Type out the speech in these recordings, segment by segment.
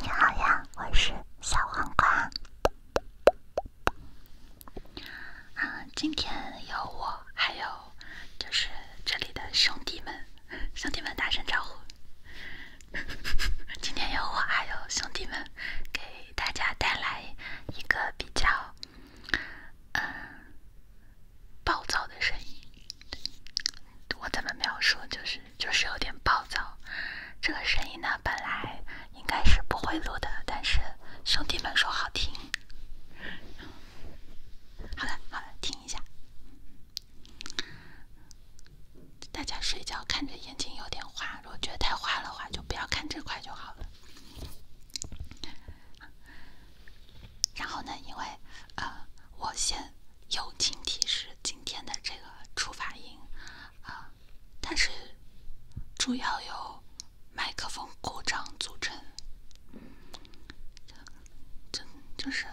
你好呀，我是小黄瓜。啊，今天有我，还有就是这里的兄弟们，兄弟们打声招呼。今天有我，还有兄弟们，给大家带来一个比较，嗯。暴躁的声音，我怎么描述就是就是有点暴躁。这个声音呢，本来应该是不会录的，但是兄弟们说好听。好了好了，听一下。大家睡觉看着眼睛有点花，如果觉得太花了话，就不要看这块就好了。然后呢，因为呃。我先友情提示，今天的这个出发音，啊，它是主要由麦克风故障组成，就就是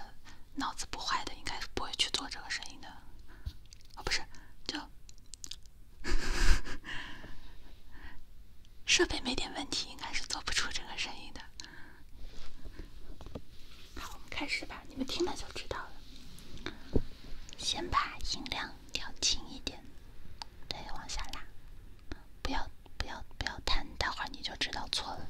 脑子不坏的，应该是不会去做这个声音的，哦，不是，就 设备没点问题，应该是做不出这个声音的。好，我们开始吧，你们听了就知道了。先把音量调轻一点，对，往下拉，不要，不要，不要弹，待会儿你就知道错了。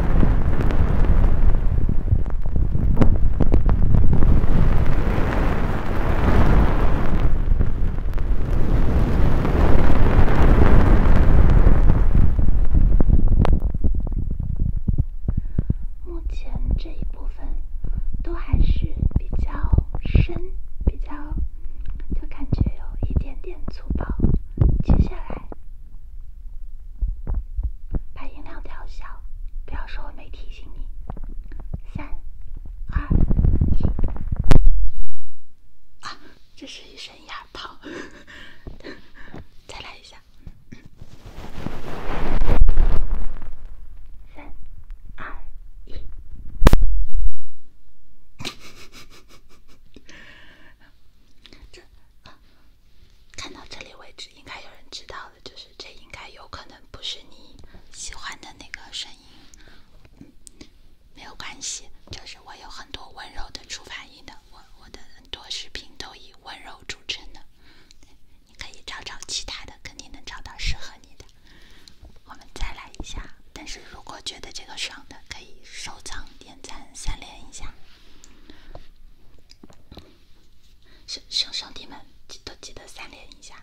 目前这一部分都还是比较深，比较就感觉有一点点粗暴，接下来。把音量调小，不要说我没提醒你。三、二、一，啊，这是一声哑炮，再来一下。三、二、一，看到这里为止，应该有人知道了，就是这应该有可能不是你喜欢的那个声音，没有关系，就是我有很多温柔的触发音的，我我的很多视频都以温柔著称的，你可以找找其他的，肯定能找到适合你的。我们再来一下，但是如果觉得这个爽的，可以收藏。点赞三连一下，兄兄兄弟们，记都记得三连一下。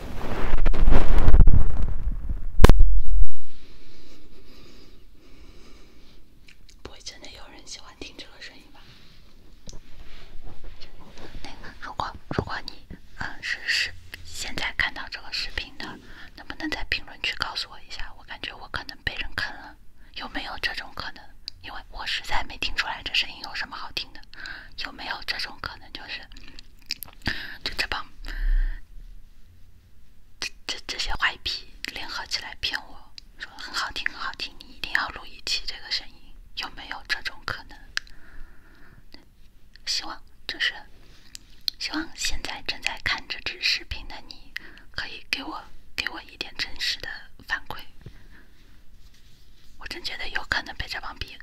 不会真的有人喜欢听这个声音吧？那个，如果如果你嗯是是现在看到这个视频的，能不能在评论区告诉我一下？我感觉我可能被人坑了，有没有这种可能？因为我实在没听出来这声音有什么好听的，有没有这种可能？就是。就这帮，这这这些坏皮联合起来骗我说很好听很好听，你一定要录一期这个声音，有没有这种可能？希望就是，希望现在正在看这支视频的你，可以给我给我一点真实的反馈。我真觉得有可能被这帮逼。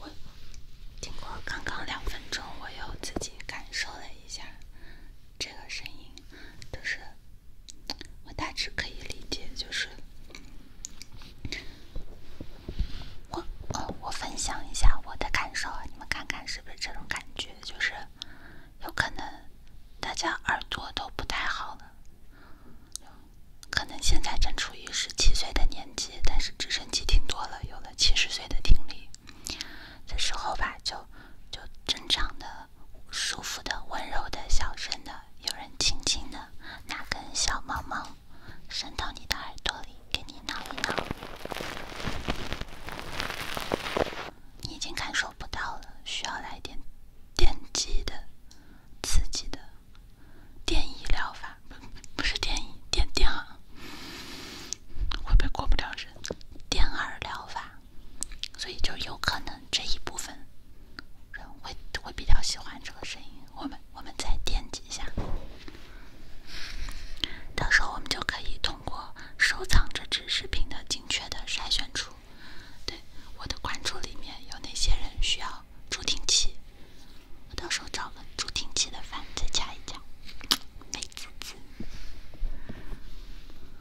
我经过刚刚两分钟，我又自己感受了一下这个声音，就是。我大致可以理解，就是我呃，我分享一下我的感受，你们看看是不是这种感觉？就是有可能大家耳朵都不太好了，可能现在正处于十七岁的年纪，但是直升机听多了，有了七十岁的听力的时候吧，就就正常的。舒服的、温柔的、小声的，有人轻轻的拿根小毛毛伸到你的耳朵里给你挠一挠。你已经感受不到了，需要来点电击的、刺激的电一疗法，不是电一电电啊，会不会过不了人？电耳疗法。所以就有可能这一部分人会会比较喜欢这个声音，我们我们再点击一下，到时候我们就可以通过收藏这支视频的精确的筛选出，对我的关注里面有哪些人需要助听器，我到时候找个助听器的粉再加一加，美滋滋。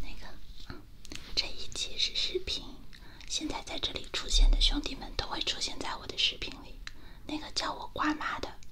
那个，这一期是视频，现在在这里出现的兄弟们都会出现在我的视频里。那个叫我瓜妈的。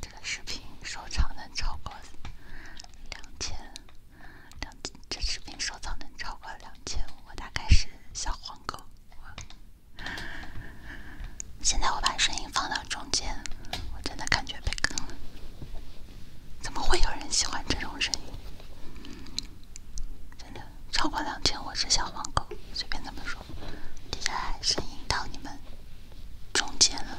这个视频收藏能超过两千两，这视频收藏能超过两千五，我大概是小黄狗。现在我把声音放到中间，我真的感觉被坑了。怎么会有人喜欢这种声音？真的。超过两千，我是小黄狗，随便怎么说。接下来声音到你们中间了。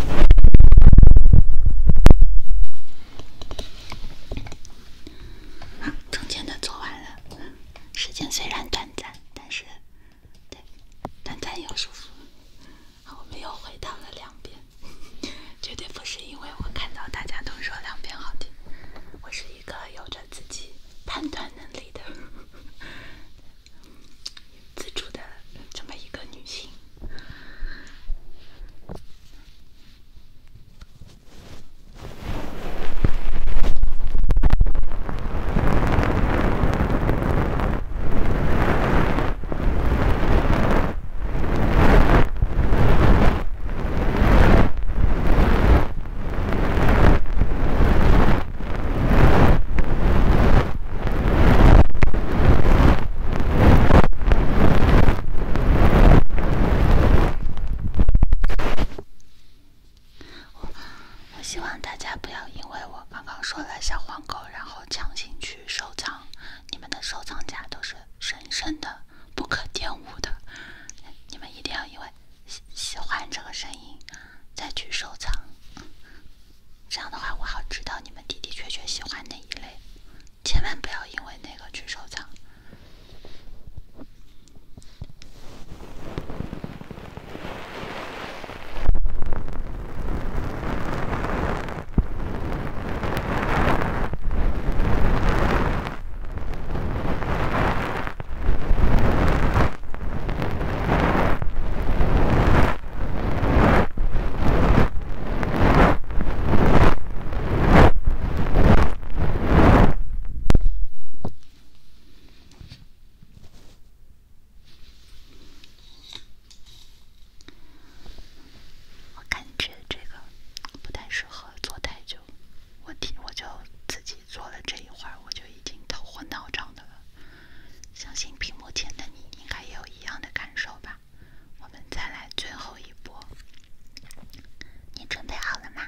好，中间的做完了。时间虽然短暂，但是，对，短暂又舒服。好，我们又回到了两边。绝对不是因为我看到大家都说两边好听，我是一个有着自己判断能力的。自主的这么一个女性。我希望大家不要因为我刚刚说了小黄狗，然后强行去收藏。你们的收藏夹都是神圣的、不可玷污的。你们一定要因为喜欢这个声音，再去收藏。这样的话，我好知道你们的的确确喜欢哪一类，千万不要因为那个去收藏。我感觉这个不太适合坐太久，我听我就自己坐了这一会儿，我就已经头昏脑胀的了。相信屏幕前的你应该也有一样的感受吧。我们再来最后一波，你准备好了吗？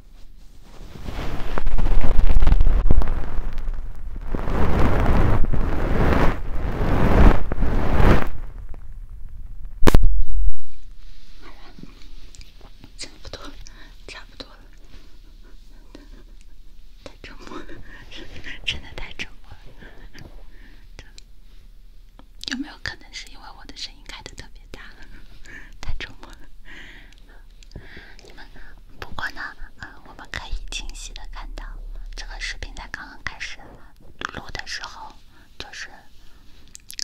好 差不多，差不多了，太折磨了，真的太折磨了。有没有可能是因为我的声音开的特别大，太折磨了？你们不过呢，呃，我们可以清晰的看到，这个视频在刚刚开始录的时候，就是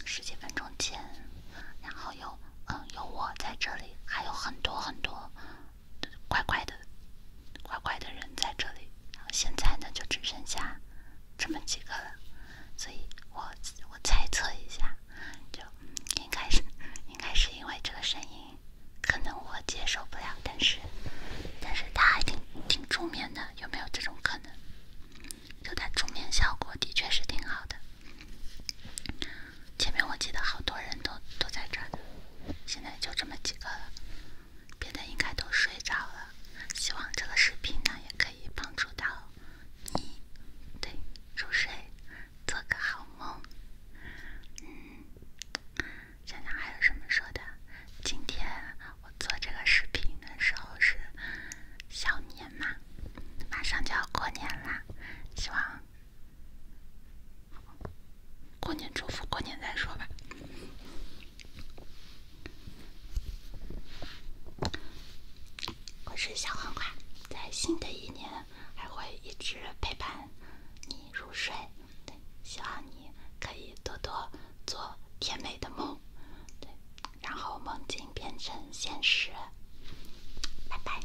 十几分钟前，然后有嗯有我在这里，还有很多很多怪怪的怪怪的人在这里，然后现在呢就只剩下。这么几个了，所以我我猜测一下，就应该是应该是因为这个声音，可能我接受不了，但是但是它还挺挺助眠的，有没有这种可能？就它助眠效果的确是挺好的。前面我记得好多人都都在这，现在就这么几个了，别的应该都睡着了。希望这个视频呢也可以帮助到。你对入睡，做个好梦。嗯，想想还有什么说的？今天我做这个视频的时候是小年嘛，马上就要过年啦，希望过年祝福过年再说吧。我是小黄瓜，在新的一年还会一直陪伴你入睡。对，希望你可以多多做甜美的梦，对，然后梦境变成现实。拜拜。